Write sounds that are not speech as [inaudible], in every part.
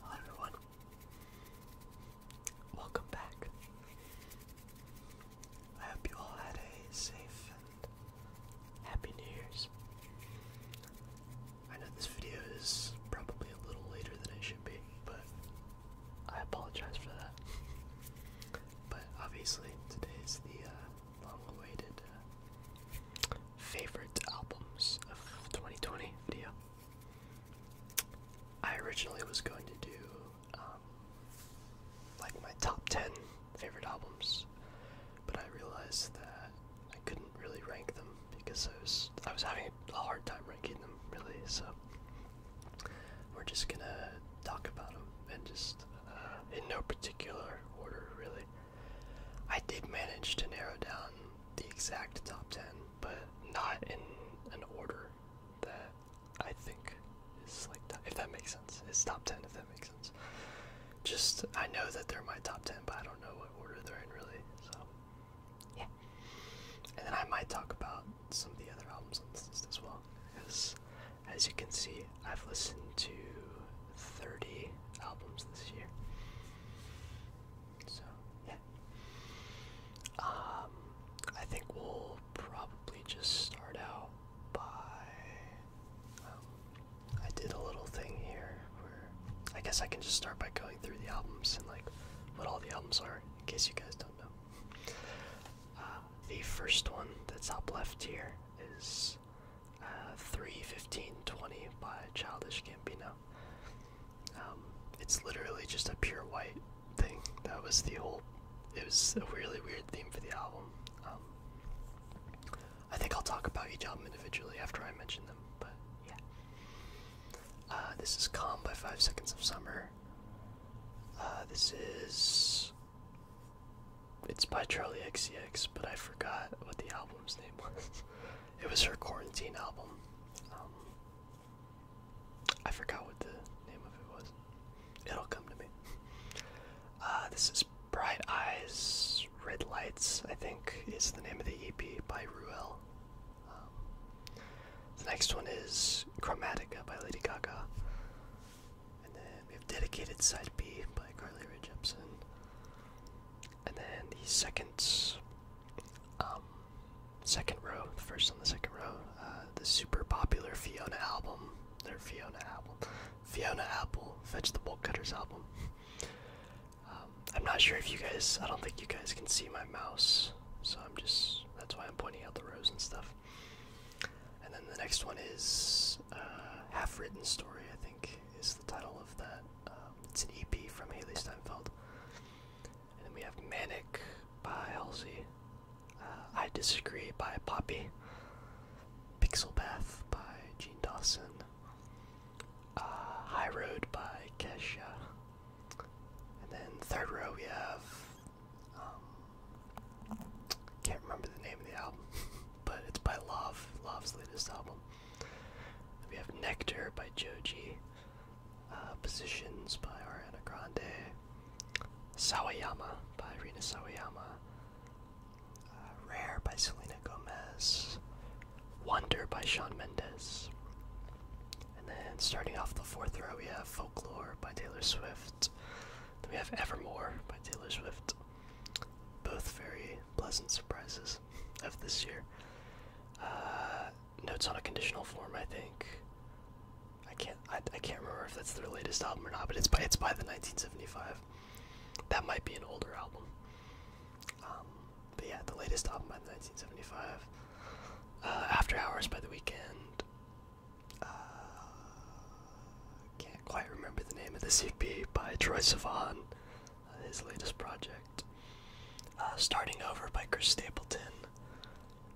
Hello everyone. Welcome back. I hope you all had a safe and happy New Year's. I know this video is probably a little later than it should be, but I apologize for that. But obviously, today is the uh, long awaited uh, favorite albums of 2020 video. I originally was going to do um, like my top 10 favorite albums, but I realized that I couldn't really rank them because I was I was having a hard time ranking them really. So we're just gonna talk about them and just uh, in no particular order really. I did manage to narrow down the exact top 10, but not in an order that I think is like, if that makes sense. It's top 10, if that makes sense. Just, I know that they're my top 10, but I don't know what order they're in really, so yeah. And then I might talk about some of the other albums on this list as well, because as you can see, I've listened to 30 albums this year. So yeah. Um, I think we'll probably just start out by. Um, I did a little thing here where I guess I can just start by going through the albums and like what all the albums are in case you guys don't know. Uh, the first one that's up left here is uh, 3 15 20 by Childish Gambino. Um, it's literally just a pure white thing. That was the whole. It was a really weird theme for the album. Um, I think I'll talk about each album individually after I mention them, but yeah. Uh, this is Calm by Five Seconds of Summer. Uh, this is. It's by Charlie XCX, but I forgot what the album's name was. [laughs] It was her quarantine album. Um, I forgot what the name of it was. It'll come to me. Uh, this is Bright Eyes, Red Lights, I think is the name of the EP by Ruel. Um, the next one is Chromatica by Lady Gaga. And then we have Dedicated Side B by Carly Rae Jepsen and then the second um, second row, the first on the second row, uh, the super popular Fiona album, their Fiona album, Fiona Apple, Fetch the Bolt Cutters album. Um, I'm not sure if you guys, I don't think you guys can see my mouse, so I'm just, that's why I'm pointing out the rows and stuff. And then the next one is uh, Half Written Story, I think, is the title of that uh, um, it's an EP from Haley Steinfeld. And then we have Manic by Halsey. Uh, I Disagree by Poppy. Pixel Bath by Gene Dawson. Uh, High Road by Kesha. And then third row we have, um, can't remember the name of the album, [laughs] but it's by Love, Love's latest album. We have Nectar by Joji, uh, Positions by Ariana Grande, Sawayama by Rina Sawayama, uh, Rare by Selena Gomez, Wonder by Sean Mendes. And then starting off the fourth row, we have Folklore by Taylor Swift. we have Evermore by Taylor Swift. Both very pleasant surprises of this year. Uh, notes on a conditional form, I think. I can't. I, can't remember if that's their latest album or not, but it's by it's by the 1975. That might be an older album. Um, but yeah, the latest album by the 1975. Uh, After Hours by the Weekend. Uh, can't quite remember the name of this EP by Troy Sivan his latest project. Uh, Starting Over by Chris Stapleton.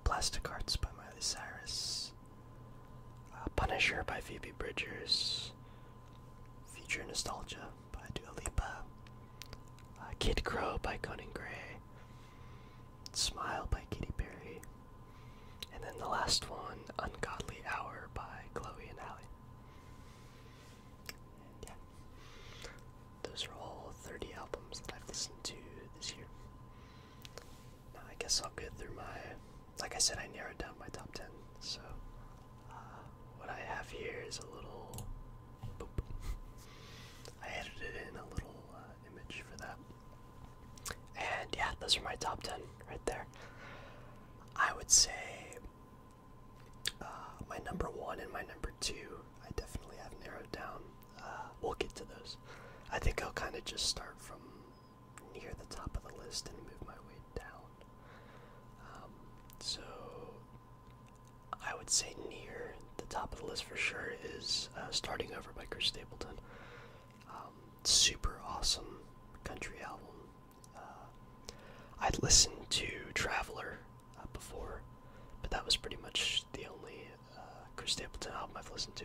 Plastic Arts by Miley Cyrus. Uh, Punisher by Phoebe Bridgers. Future Nostalgia by Dua Lipa. Uh, Kid Crow by Conan Gray. Smile by Katy Perry. And then the last one, Ungodly Hour by Chloe and Hallie yeah, those are all 30 albums that I've listened to this year. Now, I guess I'll go through my, like I said, I narrowed down my top 10, so uh, what I have here is a little, I edited in a little uh, image for that. And yeah, those are my top 10 right there. I would say uh, my number one and my number two, I definitely have narrowed down. Uh, we'll get to those. I think I'll kind of just start from near the top of the list and move my way down. Um, so, I would say near the top of the list for sure is uh, Starting Over by Chris Stapleton. Um, super awesome country album. Uh, I'd listened to Traveler uh, before, but that was pretty much the only uh, Chris Stapleton album I've listened to.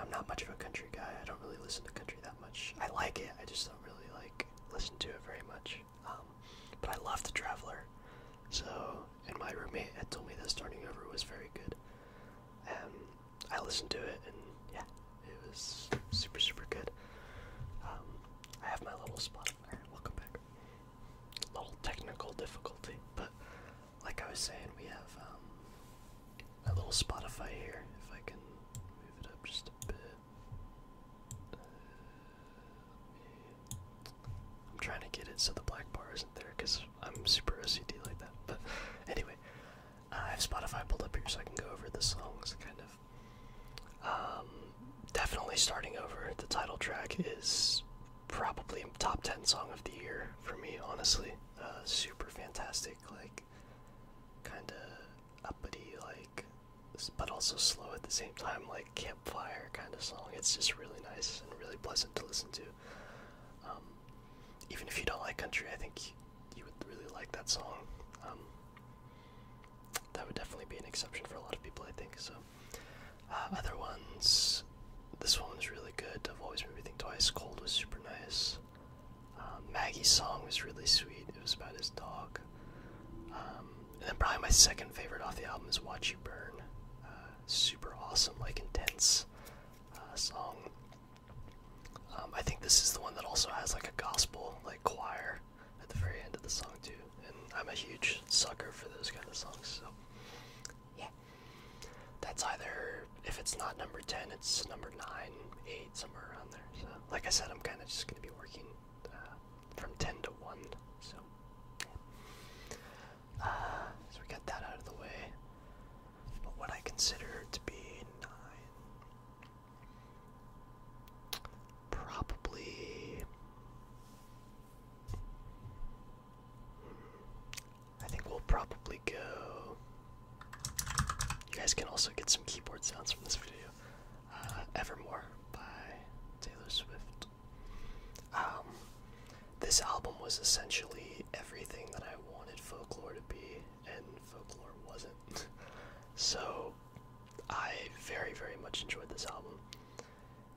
I'm not much of a country guy. I don't really listen to country that much. I like it. I just don't really like listen to it very much. Um, but I love The Traveler. So, and my roommate had told me that Starting Over was very good. And I listened to it, and yeah, it was super, super good. Um, I have my little Spotify. up there. Welcome back. Little technical difficulty, but like I was saying, we have um, a little Spotify here. If I can move it up just a bit. Uh, I'm trying to get it so the black bar isn't there because I'm super OCD like that. But anyway, I have Spotify pulled up here so I can go over the songs kind um, definitely starting over. The title track is probably top 10 song of the year for me, honestly. Uh, super fantastic, like, kind of uppity, like, but also slow at the same time, like campfire kind of song. It's just really nice and really pleasant to listen to. Um, even if you don't like country, I think you would really like that song. Um, that would definitely be an exception for a lot of people, I think. So, uh, other ones, this one was really good. I've always made me think twice. Cold was super nice. Um, Maggie's song was really sweet. It was about his dog. Um, and then probably my second favorite off the album is Watch You Burn. Uh, super awesome, like intense uh, song. Um, I think this is the one that also has like a gospel like choir at the very end of the song too. And I'm a huge sucker for those kind of songs, so yeah. That's either if it's not number ten, it's number nine, eight, somewhere around there. So like I said, I'm kinda just gonna be working uh, from ten to one. So yeah. Uh, so we got that out of the way. what I consider to be nine Probably. I think we'll probably go. You guys can also get some keyboard sounds from this video. Uh, Evermore by Taylor Swift. Um, this album was essentially everything that I wanted folklore to be, and folklore wasn't. [laughs] so I very, very much enjoyed this album.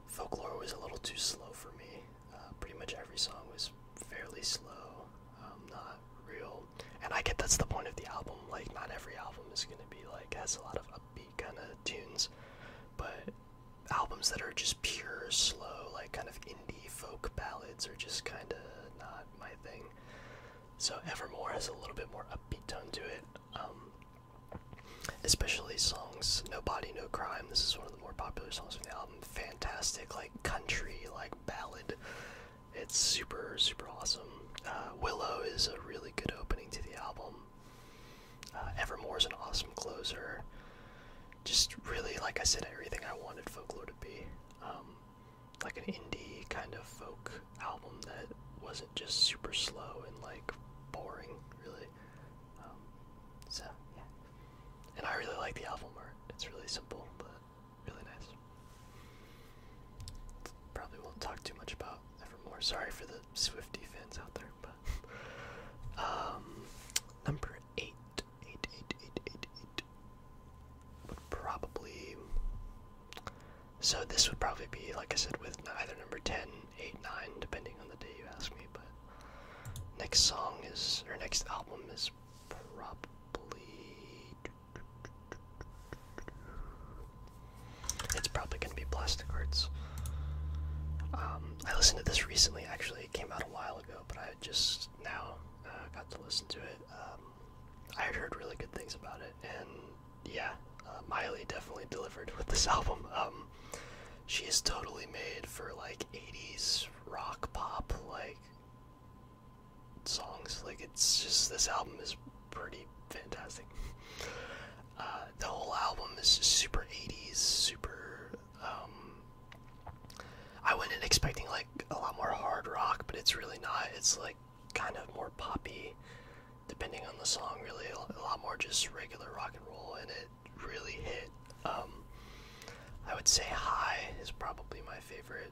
Folklore was a little too slow for me. Uh, pretty much every song was fairly slow, um, not real. And I get that's the point of the album. Like, not every album is going to be like, has a lot of upbeat kind of tunes. But albums that are just pure, slow, like kind of indie folk ballads are just kind of not my thing. So Evermore has a little bit more upbeat tone to it, um, especially songs No Body, No Crime. This is one of the more popular songs from the album. Fantastic, like country, like ballad. It's super, super awesome. Uh, Willow is a really good opening to the album. Uh, Evermore is an awesome closer. Just really, like I said, everything I wanted folklore to be. Um, like an indie kind of folk album that wasn't just super slow and like boring, really. Um, so yeah, and I really like the album art. It's really simple but really nice. Probably won't talk too much about Evermore. Sorry for the Swifty fans out there, but [laughs] um, number eight, eight, eight, eight, eight, eight would probably so this would probably be, like I said, with either number 10, 8, 9, depending on the day you ask me. But next song is, or next album is probably. It's probably going to be Plastic Hearts. Um, I listened to this recently, actually. It came out a while ago, but I just now uh, got to listen to it. Um, I heard really good things about it, and yeah, uh, Miley definitely delivered with this [laughs] album. Um, she is totally made for like '80s rock pop like songs. Like it's just this album is pretty fantastic. [laughs] Uh, the whole album is super '80s, super. Um, I went in expecting like a lot more hard rock, but it's really not. It's like kind of more poppy depending on the song, really a lot more just regular rock and roll, and it really hit. Um, I would say High is probably my favorite.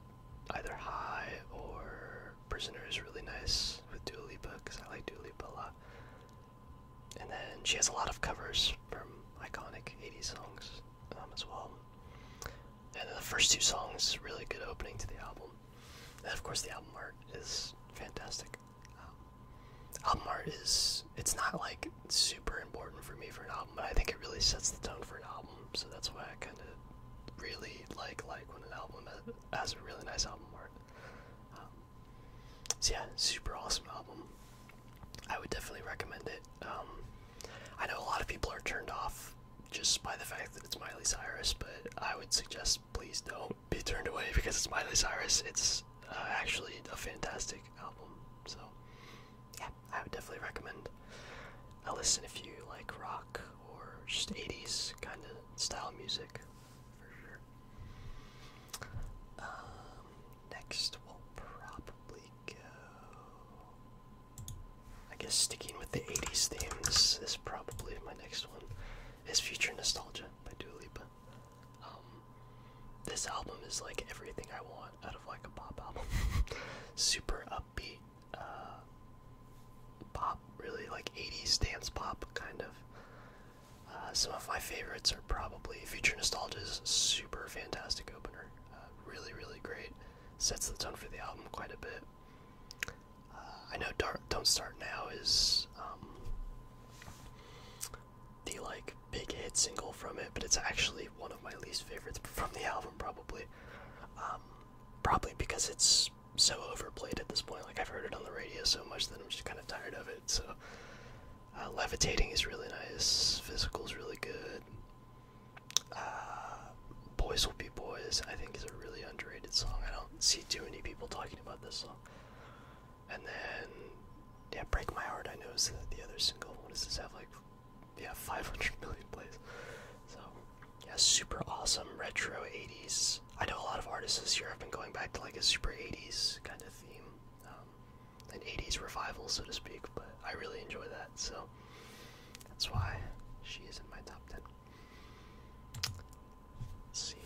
Either High or Prisoner is really nice with Dua Lipa because I like Dua Lipa a lot. And then she has a lot of covers from iconic 80s songs um, as well. And then the first two songs, really good opening to the album and of course the album art is fantastic. Um, album art is it's not like super important for me for an album, but I think it really sets the tone for an album. So that's why I kind of really like like when an album has a really nice album art. Um, so yeah, super awesome album. I would definitely recommend it. Um, I know a lot of people are turned off just by the fact that it's Miley Cyrus, but I would suggest please don't be turned away [laughs] because it's Miley Cyrus. It's uh, actually a fantastic album. So, yeah, I would definitely recommend a listen if you like rock or just 80s kind of style music, for sure. Um, next we'll probably go. I guess sticking with the 80s theme, this is probably my next one. Is Future Nostalgia by Dua Lipa. Um, this album is like everything I want out of like a pop album. [laughs] Super upbeat, uh, pop, really like 80s dance pop kind of. Uh, some of my favorites are probably Future Nostalgia's super fantastic opener. Uh, really, really great. Sets the tone for the album quite a bit. I know Don't Start Now is um, the like big hit single from it, but it's actually one of my least favorites from the album, probably. Um, probably because it's so overplayed at this point. Like I've heard it on the radio so much that I'm just kind of tired of it. So uh, levitating is really nice. Physical is really good. Uh, Boys Will Be Boys, I think is a really underrated song. I don't see too many people talking about this song. And then, yeah, Break My Heart, I know, is the, other single. What does this have, like, yeah, 500 million plays. So, yeah, super awesome retro 80s. I know a lot of artists this year have been going back to, like, a super 80s kind of theme. Um, an 80s revival, so to speak, but I really enjoy that, so that's why she is in my top 10 see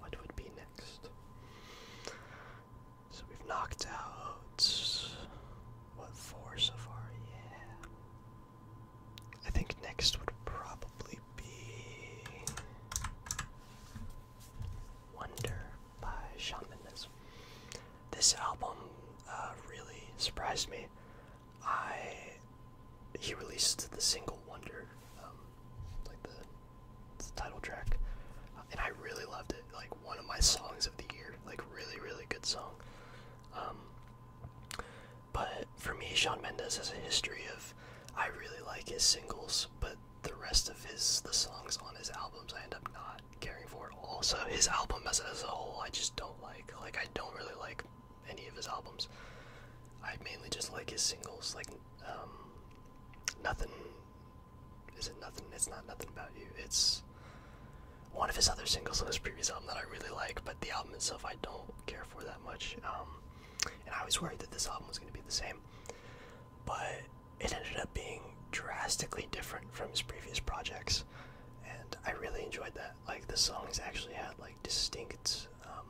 what would be next. So we've knocked out what four so far? Yeah. I think next would probably be Wonder by Shawn Mendes. This album uh, really surprised me. I he released the single Wonder, um, like the, title track, uh, and I really loved it. Like one of my songs of the year, like really really good song. Um, but for me, Sean Mendes has a history of I really like his singles, but the rest of his the songs on his albums I end up not caring for at all. So his album as a whole, I just don't like. Like I don't really like any of his albums. I mainly just like his singles, like um, nothing. Is it nothing? It's not nothing about you. It's one of his other singles on his previous album that I really like, but the album itself I don't care for that much. Um, and I was worried that this album was going to be the same, but it ended up being drastically different from his previous projects, and I really enjoyed that like the songs actually had like distinct um,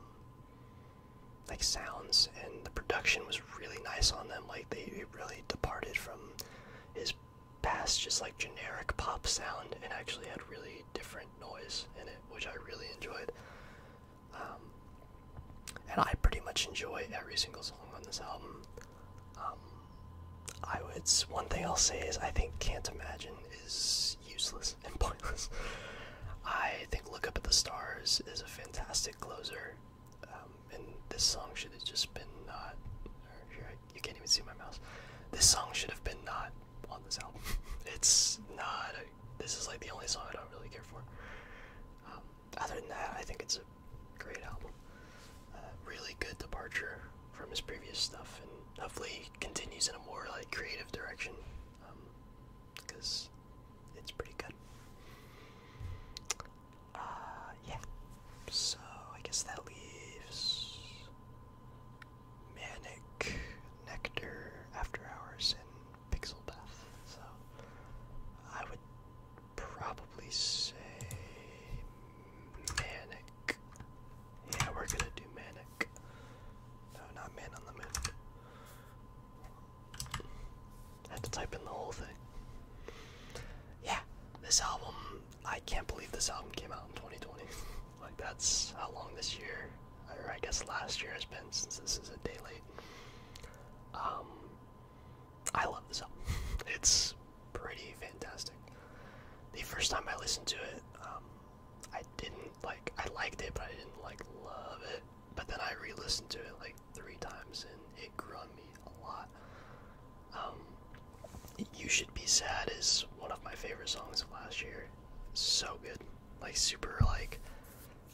like sounds and the production was really nice on them like they really departed from his past just like generic pop sound and actually had really different noise in it which i really enjoyed um, and i pretty much enjoy every single song on this album um, i would one thing i'll say is i think can't imagine is useless and pointless. I think Look Up at the Stars is a fantastic closer, um, and this song should have just been not. Or, you can't even see my mouse. This song should have been not on this album. [laughs] it's not. this is like the only song I don't really care for. Um, other than that, I think it's a great album. Uh, really good departure from his previous stuff, and hopefully continues in a more like creative direction because um, it's pretty good. Uh, yeah. So I guess that leaves Manic Nectar After Hours and Pixel Bath. So I would probably say Manic yeah, we're gonna do manic. No, not man on the moon. I had to type in the whole thing. Yeah, this album, I can't believe this album came out in 2020. like, that's how long this year, or I guess last year has been since this is a daily. Um, I love this album. [laughs] it's pretty fantastic. The first time I listened to it, um, I didn't like I liked it, but I didn't like love it. But then I re-listened to it like three times, and it grew on me a lot. Um, "You Should Be Sad" is one of my favorite songs of last year. So good, like super like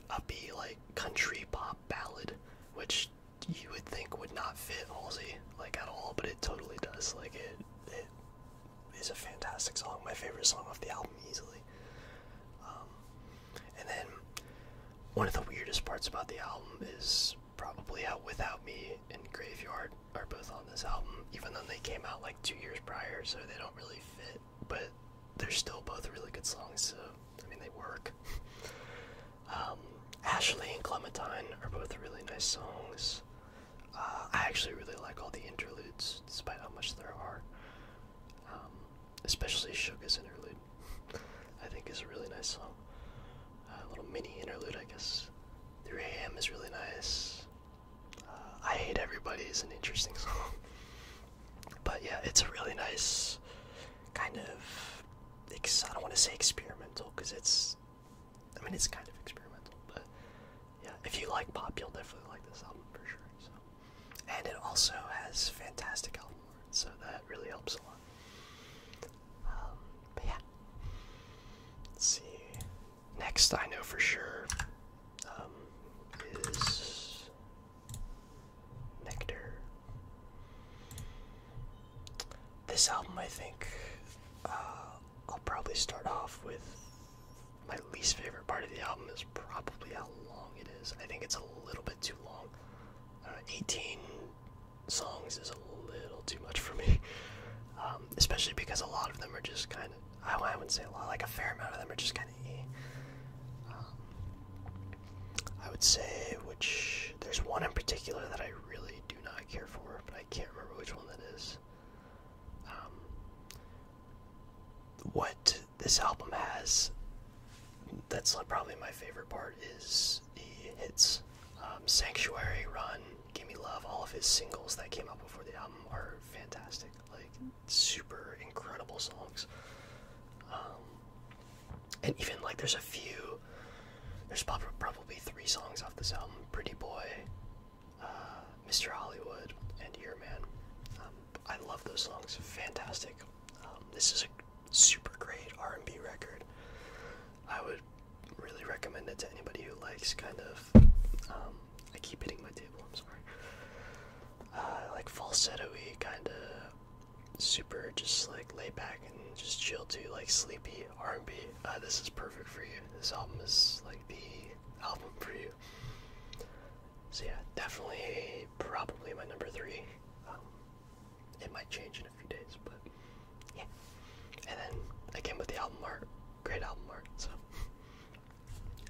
upbeat, like country pop ballad, which you would think would not fit Halsey like at all, but it totally does. Like it is a fantastic song, my favorite song off the album easily. Um, and then one of the weirdest parts about the album is probably how Without Me and Graveyard are both on this album, even though they came out like two years prior, so they don't really fit. But they're still both really good songs, so I mean, they work. [laughs] Um, Ashley and Clementine are both really nice songs. Uh, I actually really like all the interludes, despite how much there are. Um, especially Suga's interlude, I think is a really nice song. Uh, a little mini interlude, I guess. 3 a.m. is really nice. Uh, I Hate Everybody is an interesting [laughs] song. but yeah, it's a really nice kind of. I don't want to say experimental because it's. I mean, it's kind of experimental, but yeah, if you like pop, you'll definitely like this album for sure. So, and it also has fantastic album art, so that really helps a lot. Um, but yeah, let's see. Next, I know for sure um, is Nectar. This album, I think, uh, I'll probably start off with my least favorite part of the album is probably how long it is. I think it's a little bit too long. Uh, 18 songs is a little too much for me, [laughs] um, especially because a lot of them are just kind of. I, wouldn't say a lot, like a fair amount of them are just kind of. Eh. Um, I would say which there's one in particular that I really do not care for, but I can't remember which one that is. Um, what this album has, that's probably my favorite part, is the hits. Um, Sanctuary, Run, Gimme Love, all of his singles that came out before the album are fantastic. Like, super incredible songs. Um, and even, like, there's a few, there's probably three songs off this album Pretty Boy, Mr. Hollywood, and Your Man. Um, I love those songs. Fantastic. Um, this is a super great R&B record. I would really recommend it to anybody who likes kind of. Um, I keep hitting my table. I'm sorry. Uh, like falsetto kind of super, just like lay back and just chill to like sleepy R&B. Uh, this is perfect for you. This album is like the album for you. So yeah, definitely, probably my number three. Um, it might change in a few days, but yeah. And then again with the album art, great album art. So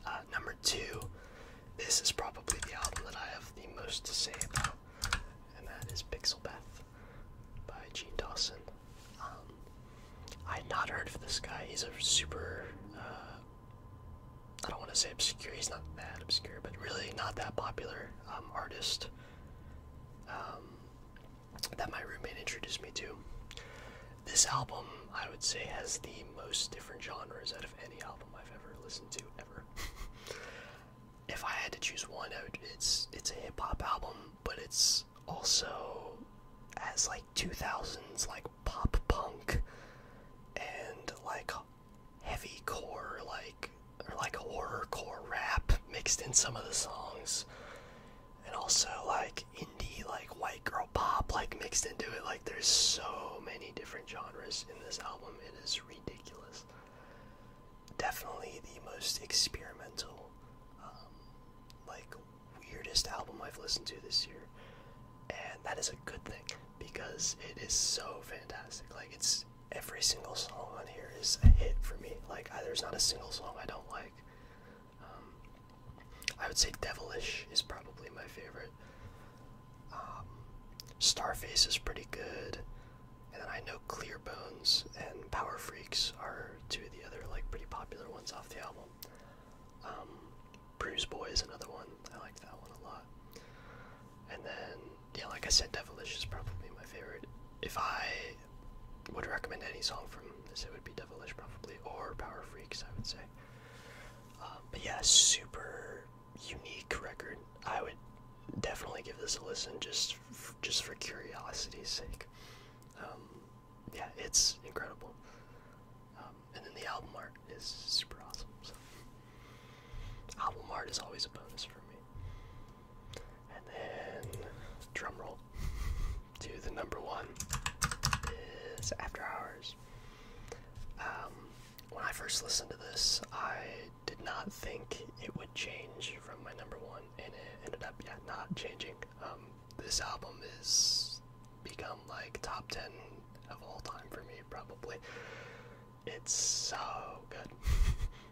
uh, number two, this is probably the album that I have the most to say about, and that is Pixel Bath by Gene Dawson. Um, I had not heard of this guy. He's a super, uh, I don't want to say obscure, he's not that obscure, but really not that popular um, artist um, that my roommate introduced me to. This album, I would say, has the most different genres out of any album I've ever listened to, ever. [laughs] if I had to choose one, out it's it's a hip hop album, but it's also as like 2000s like pop punk and like heavy core like or like horror core rap mixed in some of the songs and also like indie like white girl pop like mixed into it like there's so many different genres in this album it is ridiculous definitely the most experimental um, like weirdest album I've listened to this year. And that is a good thing because it is so fantastic. Like it's every single song on here is a hit for me. Like there's not a single song I don't like. Um, I would say Devilish is probably my favorite. Um, Starface is pretty good, and then I know Clear Bones and Power Freaks are two of the other like pretty popular ones off the album cool. Um, Bruce Boy is another one. I like that one a lot. And then, yeah, like I said, Devilish is probably my favorite. If I would recommend any song from this, it would be Devilish probably, or Power Freaks, I would say. Um, but yeah, super unique record. I would definitely give this a listen just, just for curiosity's sake. Um, yeah, it's incredible. Um, and then the album art is super awesome. So. Album art is always a bonus for me. And then, drum roll to the number one is After Hours. Um, when I first listened to this, I did not think it would change from my number one, and it ended up yeah, not changing. Um, this album is become like top 10 of all time for me, probably. It's so good.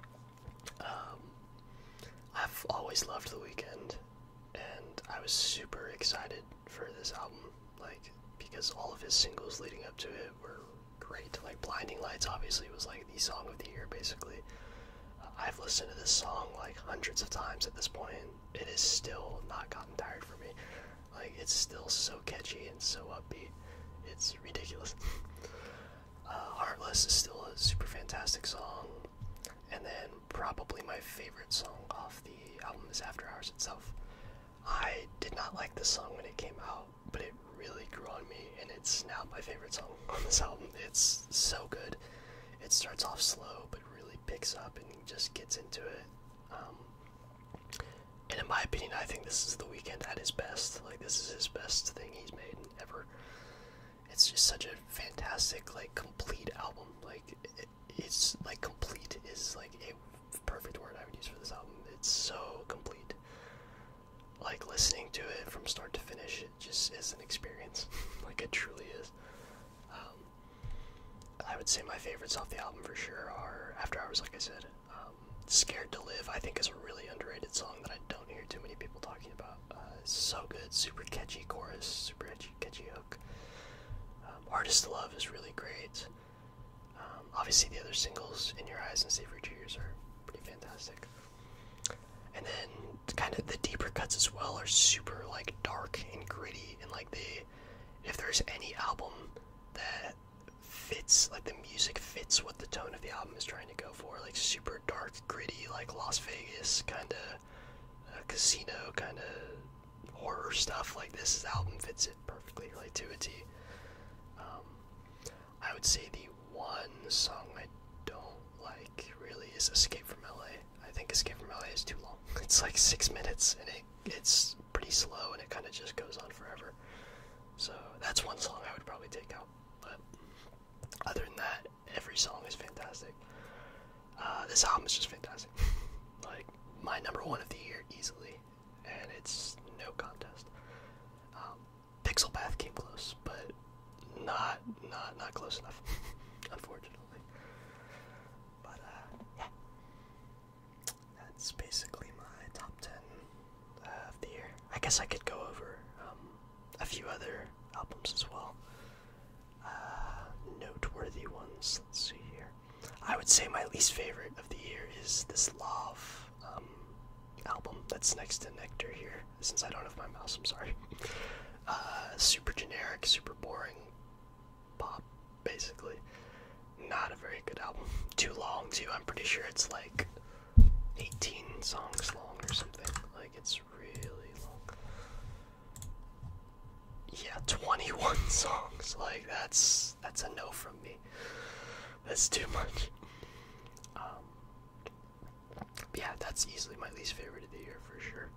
[laughs] um, I've always loved The Weeknd, and I was super excited for this album, like, because all of his singles leading up to it were great. Like, Blinding Lights obviously was like the song of the year, basically. Uh, I've listened to this song like hundreds of times at this point, it is still not gotten tired for me. Like it's still so catchy and so upbeat. It's ridiculous. [laughs] uh, Heartless is still a super fantastic song. And then probably my favorite song off the album is After Hours itself. I did not like this song when it came out, but it really grew on me and it's now my favorite song [laughs] on this album. It's so good. It starts off slow but really picks up and just gets into it. Um, and in my opinion, I think this is the weekend at his best. Like this is his best thing he's made ever. It's just such a fantastic, like complete album. Like it's like complete is like a perfect word I would use for this album. It's so complete. Like listening to it from start to finish, it just is an experience. [laughs] like it truly is. Um, I would say my favorites off the album for sure are After Hours, like I said. Um, Scared to Live, I think, is a really underrated song that I don't hear too many people talking about. Uh, so good, super catchy chorus, super catchy, hook. Um, Artist Love is really great. Um, obviously, the other singles, In Your Eyes and Save Your Tears, are pretty fantastic. And then kind of the deeper cuts as well are super like dark and gritty and like the if there's any album that fits like the music fits what the tone of the album is trying to go for like super dark gritty like las vegas kind of uh, casino kind of horror stuff like this, album fits it perfectly like to um, i would say the one song i don't like really is escape from la I think Escape from LA is too long. [laughs] It's like six minutes, and it it's pretty slow, and it kind of just goes on forever. So that's one song I would probably take out. But other than that, every song is fantastic. Uh, this album is just fantastic. [laughs] like my number one of the year easily, and it's no contest. Um, Pixel Path came close, but not not not close enough, [laughs] unfortunately. But uh, yeah, that's basically my top ten uh, of the year. I guess I could go over um, a few other albums as well. Uh, noteworthy ones. Let's see here. I would say my least favorite of the year is this Love um, album that's next to Nectar here. Since I don't have my mouse, I'm sorry. super generic, super boring, pop, basically. Not a very good album. Too long, too. I'm pretty sure it's like 18 songs long or something. Like, it's really long. Yeah, 21 [laughs] songs. Like, that's that's a no from me. That's too much. Um, yeah, that's easily my least favorite of the year for sure.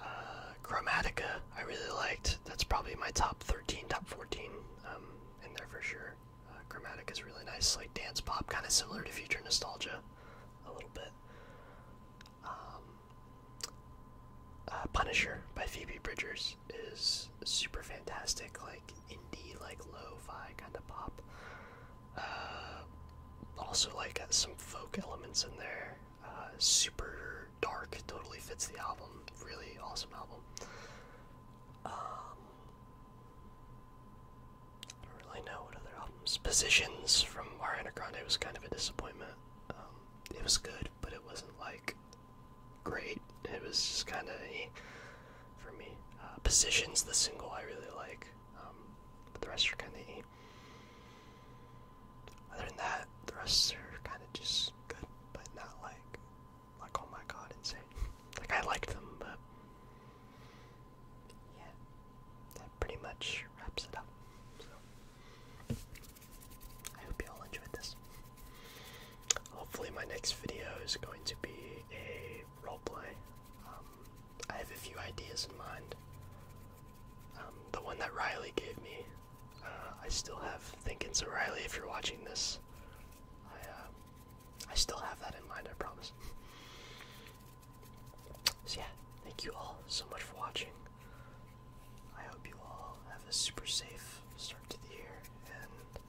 Uh, Chromatica, I really liked. That's probably my top 13, top 14 um, in there for sure. Uh, Chromatica is really nice, like dance pop, kind of similar to Future Nostalgia a little bit. Um, uh, Punisher by Phoebe Bridgers is super fantastic, like indie, like lo-fi kind of pop. also like some folk elements in there. Uh, super dark, totally fits the album. Really awesome album. Um, don't really know what other albums. Positions from Ariana Grande was kind of a disappointment. Um, it was good, but it wasn't like great. It was just kind of for me. Uh, Positions, the single I really like, um, but the rest are kind of. Eh. Other than that, the rest are kind of just good, but not like, like oh my god, insane. [laughs] like I liked them, but yeah, that pretty much wraps it up. So I hope you all enjoyed this. Hopefully, my next video is going to be a roleplay. Um, I have a few ideas in mind. Um, the one that Riley gave me, uh, I still have thinking. So Riley, if you're watching this, I uh, I still have that in mind. I promise. [laughs] So yeah, thank you all so much for watching. I hope you all have a super safe start to the year, and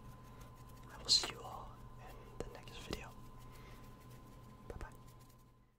I will see you all in the next video. Bye bye.